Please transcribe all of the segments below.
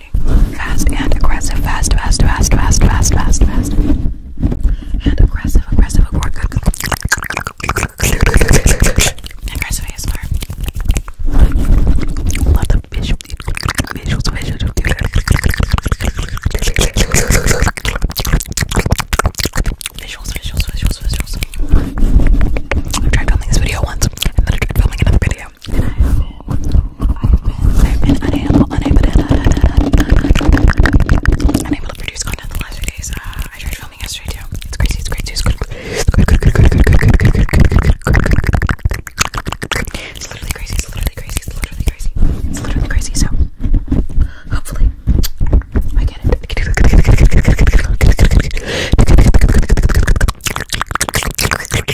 activity. Fast and aggressive. Fast, fast, fast, fast, fast, fast, fast. And aggressive, aggressive, aggressive. Aggressive ASMR. Love the visual, visuals, visuals. Visuals, visuals, visuals, visuals. I tried filming this video once, and then I tried filming another video, you. And I have been, I've been, I've been unable, unable to, unable to produce content the last few days. Uh, I tried filming yesterday too. It's crazy, it's crazy, it's crazy. It's literally crazy, it's literally crazy, it's literally crazy. It's literally crazy, so hopefully I get it.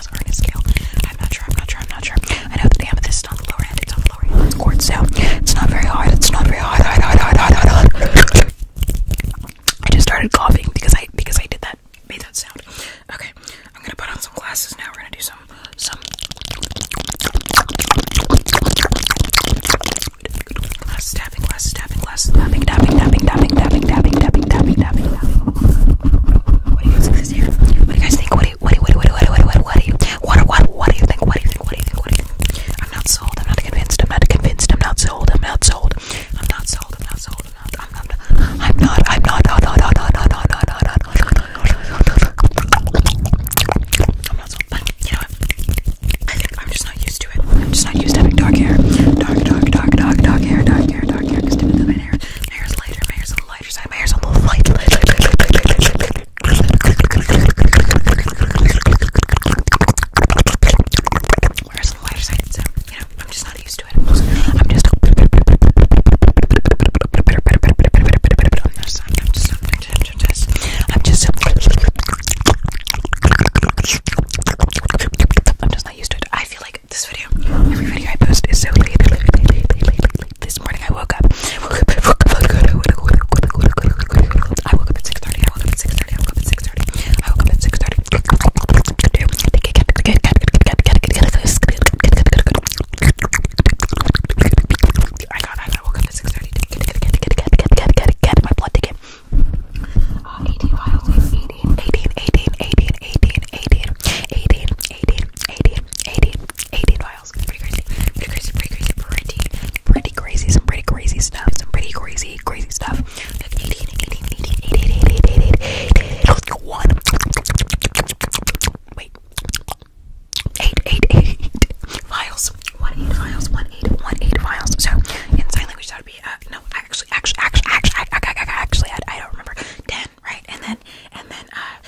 glass or in a scale. I'm not sure, I'm not sure, I'm not sure. I know that the amethyst is on the lower end, it's on the lower end of the quartz, so it's not very hard, it's not very hard, hard, hard, hard, hard, hard. I just started coughing because I because I did that, made that sound. Okay, I'm gonna put on some glasses now, we're gonna do some, some glasses tapping, glasses tapping, glasses tapping, tapping, tapping, tapping, tapping, tapping, tapping, tapping, tapping, tapping. What do you guys think is here? What do you guys think? What what do you what do you what do you what do you what do you what do you what what do you think what do you think what do you think what do you think I'm not sold I'm not convinced I'm not convinced I'm not sold I'm not sold I'm not sold I'm not sold I'm not I'm not I'm not I'm not I'm not I'm not I'm not I'm not sold but you know what I think I'm just not used to it I'm just not used to having dark hair dark dark dark dark dark hair dark hair dark hair because typically my hair my hair's lighter my hair's a lighter side. My on the lighter side, you know I'm just not used to it. I'm just. I'm just. I'm just. I'm just. not used to it. I feel like this video, every video I post is so late, this morning I woke up. I woke up at 6.30, I woke up at 6.30, I woke up at 6.30, I woke up at 6.30, I woke up I woke up at 6.30, 18 files, 18, 18, 18, 18, 18, 18, 18, 18, 18, 18, 18, files. It's pretty crazy. Pretty crazy, pretty crazy, pretty, pretty crazy. Some pretty crazy stuff. Some pretty crazy, crazy stuff. Like 18, 18, 18, 18, 18, 18, 18, 18, 18 1. Wait. 8, 8, 8 files. 1, 8 files. 1, 8, 1, 8 files. So, in sign language, that would be, uh, no, actually, actually, actually, actually, actually, I, I, I, I don't remember. 10, right? And then, and then, uh,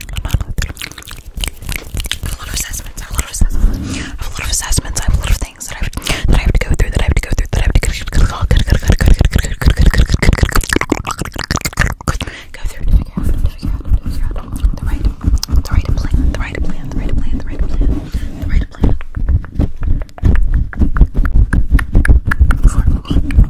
I have a lot of assessments, I have a lot of assessments, I have a lot of assessments, I have a lot of things that I have, that I have to go through, that I have to go through, that I have to go through. The right, the right plan, the right plan, the right plan, the right plan, the right plan. For me.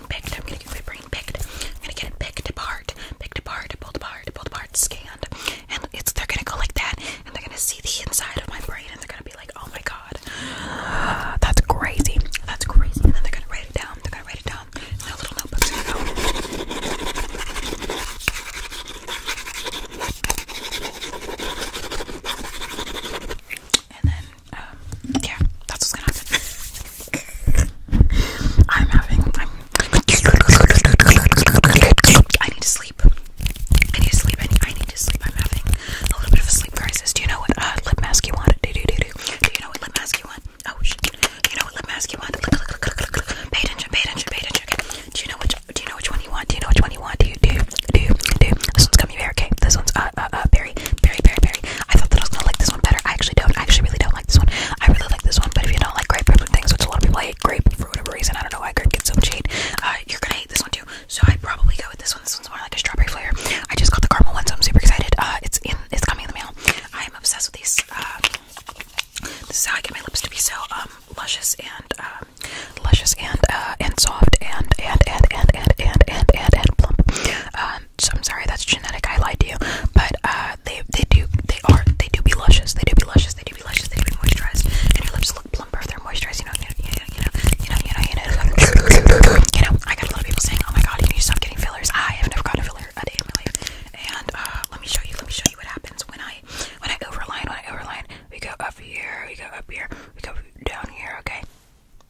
picked. I'm gonna get my brain picked. I'm gonna get it picked apart, picked apart, pulled apart, pulled apart, scanned, and it's they're gonna go like that, and they're gonna see the inside of my brain, and they're gonna be like, oh my god, that's crazy, that's crazy, and then they're gonna write it down. They're gonna write it down in their little notebooks. And then um, yeah, that's what's gonna happen. I'm having. i need to sleep. I need to sleep. I need, I need to sleep. I'm having a little bit of a sleep crisis. Do you know what uh, lip mask you want? Do, do, do, do. do you know what lip mask you want? Oh shit! Do you know what lip mask you want? Pay attention. Pay attention. Pay attention. Do you know which? Do you know which one you want? Do you know which one you want? Do do do do? This one's good gummy bear. Okay, this one's uh, uh, uh, berry, berry, berry, berry. I thought that I was gonna like this one better. I actually don't. I actually really don't like this one. I really like this one, but if you don't like grapefruit and things, which a lot of people hate grape for whatever reason, I don't know why grape gets so much hate. Uh, you're gonna hate this one too. So I probably go with this one. This one's more like a strawberry flavor. I just got the caramel one, so I'm super excited. Uh, it's in. It's coming in the mail. I am obsessed with these. Um, this is how I get my lips to be so um luscious and um luscious and uh and soft and and and and and and and and, and plump. Um, so I'm sorry that's genetic. I lied to you, but uh, they they do they are they do be luscious. They do be luscious. They do be luscious. They do be moisturized, and your lips look plumper if they're moisturized. You know, you know, you know, you know, you know, you know, you know. You know I got a lot of people saying, "Oh my God, you need to stop getting fillers." I have never gotten a filler a day in my life, and uh, let me show you. Let me show you what happens when I when I overline. When I overline, we go up here, we go up here, we go down here. Okay,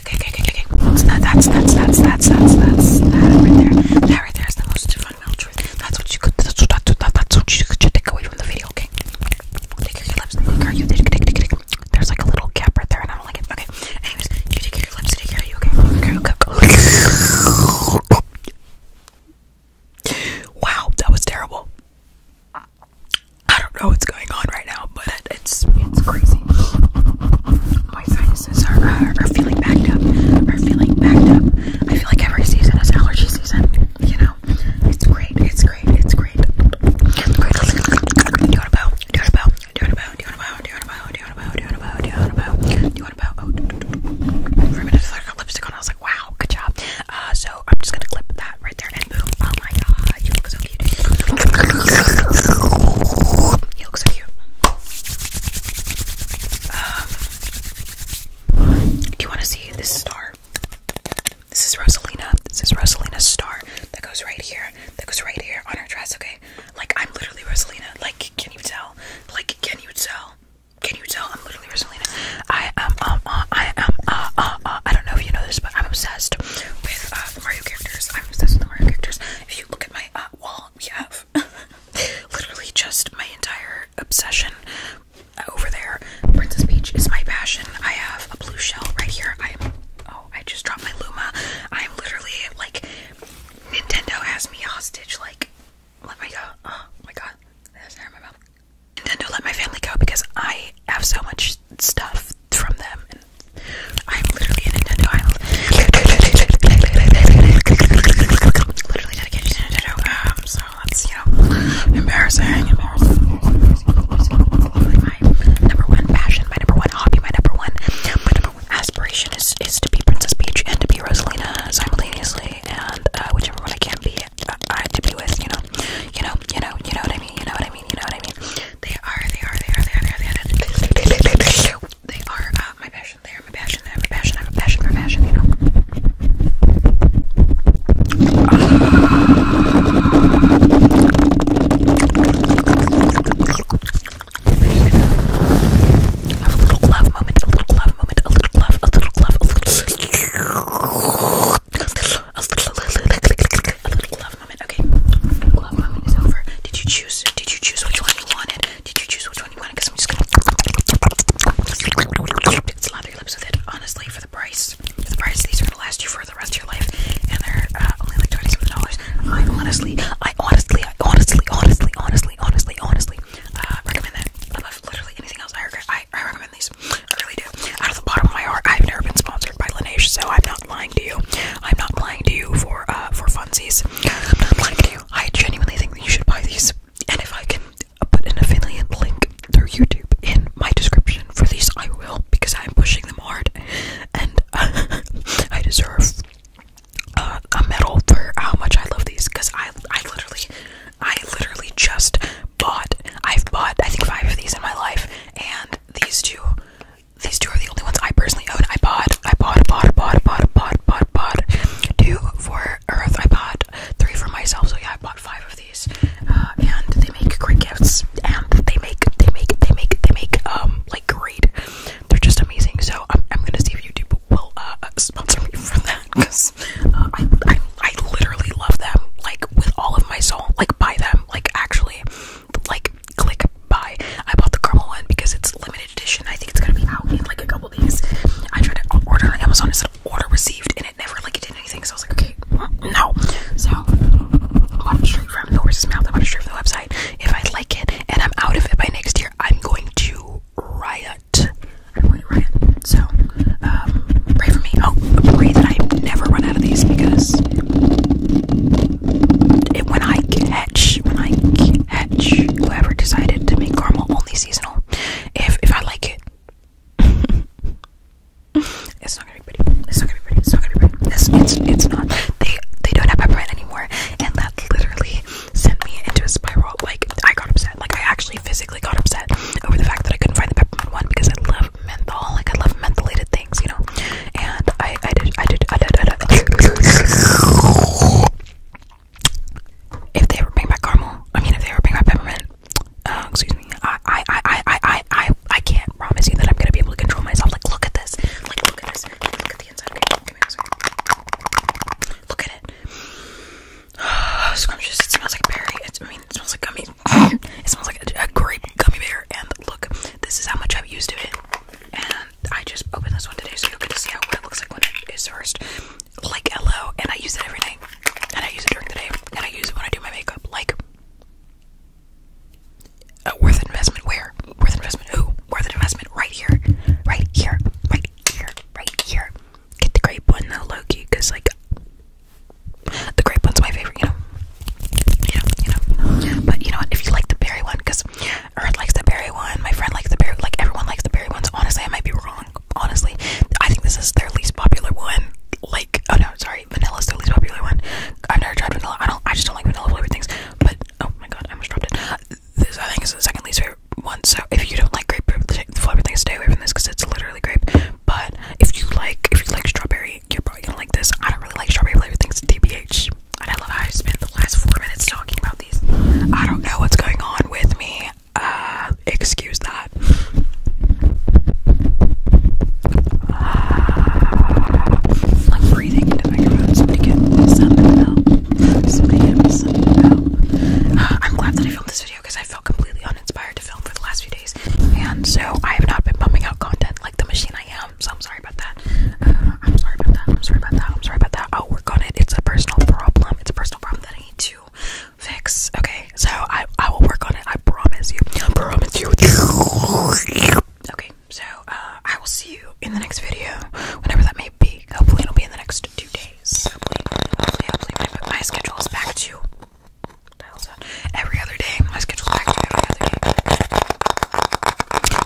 okay, okay, okay, okay, okay. that, that's, that's, that's, that's, that's, that's, that right there. That right there is the most fundamental truth. That's what you could, that's what, that's what you should take away from the video, okay? Take your lips, are you, there's like a little gap right there and I don't like it, okay? Anyways, take your lips, take you, okay? Okay, okay, okay. Wow, that was terrible. I don't know what's going on right now, but it's it's crazy my sinuses are, are, feeling backed up, are feeling backed up. I feel like every season is allergy season, you know? It's great, it's great, it's great. Do you want a bow? Do you want a bow? Do you want a bow? Do you want a bow? Do you want a bow? Do you want a bow? Do you want a bow? Do you want a bow? Do you want a bow? Oh, for a minute I got lipstick on, I was like, wow, good job. Uh, so I'm just gonna clip that right there and boom. Oh my god, you look so um, do you want to see this star? This is Rosalina. This is Rosalina's star that goes right here. That goes right here on her dress, okay? Like, I'm literally Rosalina. Like, can you tell? Like, can you tell? Can you tell? I'm literally Rosalina. I am, um, uh, I am, uh, uh, I don't know if you know this, but I'm obsessed with, Mario characters. I'm obsessed with Mario characters. If you look at my, wall, we have. Literally, just my entire obsession over there. Princess Peach is my passion. I have a blue shell right here. I'm oh, I just dropped my Luma. I'm literally like Nintendo has me hostage. Like, let me go. Oh my god, that's hair in my mouth. Nintendo, let my family go because I have so much stuff from them. I'm literally in a Nintendo. i literally dedicated to Nintendo. so that's you know embarrassing. My number one passion, my number one hobby, my number one, aspiration is is to be Princess Peach and to be Rosalina simultaneously, and uh, whichever one I can be, uh, I to be with. You know, you know, you know, you know what I mean. You know what I mean. You know what I mean. they are, they are, they are, they are, they are. They are my passion. They are my passion. I have a passion. I have a passion for passion, you know. a little glove moment, a little glove moment, a little glove, a little glove, a little. A little, a little glove moment. Okay, glove moment is over. Did you choose? Did you choose which one you wanted? Did you choose which which one you want because I'm just gonna slather your lips with it. Honestly, for the price, for the price, these are gonna last you for the rest of your life, and they're uh, only like twenty seven dollars. I honestly, I honestly, I honestly, honestly, honestly, honestly, honestly uh, recommend that above literally anything else. I regret. I, I recommend these. I really do. Out of the bottom of my heart, I've never been sponsored by Laneige, so I'm not lying to you. I'm not lying to you for uh for funsies. I'm not lying to I genuinely think that you should buy these. And if I can put an affiliate link through YouTube in my description for these, I will because I'm pushing them hard, and I deserve uh, a medal for how much I love these. Because I, I literally, I literally just bought. I've bought I think five of these in my life, and these two, these two are the only ones I personally own. I bought I bought iPod, pod, pod, pod, pod, pod, two for Earth, I bought three for myself. So yeah, I bought five of these, uh, and they make great gifts. And they make, they make, they make, they make, um, like great. They're just amazing. So I'm, I'm gonna see if YouTube will uh, sponsor me for that because uh, I, I, I literally love them like with all of my soul. Like buy them. Like actually, like click buy. I bought the caramel one because it's limited edition. I think it's gonna be out in like a couple days. I tried to order on Amazon. It said order received, and it never like it did anything. So I was like, okay, no. So I bought it straight from the horse's mouth. I bought it straight from the website. If I like it and I'm out of it by next year, I'm going to riot. I'm going to riot. So um, pray for me. Oh, pray that I never run out of these because when I get Hetch, Mike Hetch, whoever decided to make caramel only seasonal. If if I like it, it's not gonna be pretty. It's not gonna be pretty. It's not gonna be pretty. It's it's, it's not. They they don't have peppermint anymore, and that literally sent me into a spiral. Like I got upset. Like I actually physically got upset over the fact that I couldn't find the peppermint one because I love menthol. Like I love mentholated things, you know. And I I did I did I did I did. I did if they ever bring back caramel, I mean, if they ever bring my peppermint, uh, excuse me, I, I, I, I, I, I, I can't promise you that I'm gonna be able to control myself. Like, look at this. Like, look at this. look at the inside. Okay, Look at it. Oh, scrumptious. It smells like berry. It's, I mean, it smells like gummy. it smells like a, a grape gummy bear. And look, this is how much I've used of it. And um, I just opened this one today so you'll to see how it looks like when it is first. Like LO, and I use it every day, and I use it during the day, and I use it when I do my makeup. Like, uh, worth investment where? Worth investment who? Worth investment right here, right here, right here, right here. Get the grape one though, Loki, because like the grape one's my favorite, you know. You know, you know. But you know what? If you like the berry one, because Earth likes the berry one. My friend likes the berry. Like everyone likes the berry ones. Honestly, I might be wrong. Honestly, I think this is their least popular one. Like, oh no, sorry, vanilla's their least popular one. I've never tried vanilla. I don't. I just don't like vanilla flavored things. But oh my god, I almost dropped it. This I think is the second least favorite one. So if you don't like grape flavored things, stay away from this because it's literally grape. But if you like, if you like strawberry, you're probably gonna like this. I don't really like strawberry flavored things. DBH. And I love how I spent the last four minutes talking about I don't know what's going on with me. Uh, excuse that. Uh, I'm breathing into microphone. Somebody get me something out. Somebody get me something out. Uh, I'm glad that I filmed this video because I felt completely uninspired to film for the last few days, and so I have not been pumping out content like the machine I am. So I'm sorry about that. I'm sorry about that. I'm sorry about that. I'm sorry about that. I'll oh, work on it. It's a personal problem. It's a personal personal problem that I need to fix. Okay, so I I will work on it. I promise you. I promise you. Okay, so uh, I will see you in the next video, whenever that may be. Hopefully, it'll be in the next two days. Hopefully, hopefully, hopefully my, my schedule is back to every other day. My schedule is back to every other day.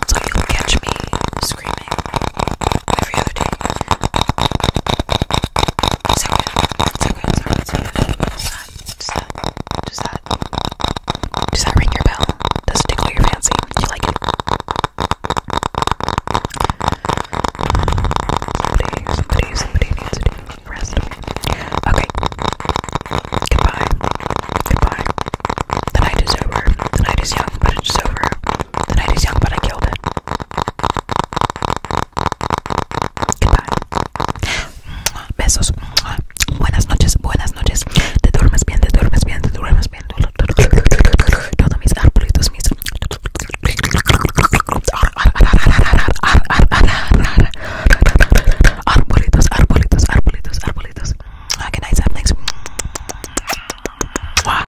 So you'll catch me screaming every other day. Does that, ring your bell? Does it tickle your fancy? Do you like it? Somebody, somebody, somebody needs to rest. Okay. Goodbye. Goodbye. The night is over. The night is young, but it's over. The night is young, but I killed it. Besos. Buenas noches, buenas noches. Te duermes bien, te duermes bien, te duermes bien. Todos mis arbolitos, mis. Arbolitos, arbolitos, arbolitos, arbolitos. Ah, ah,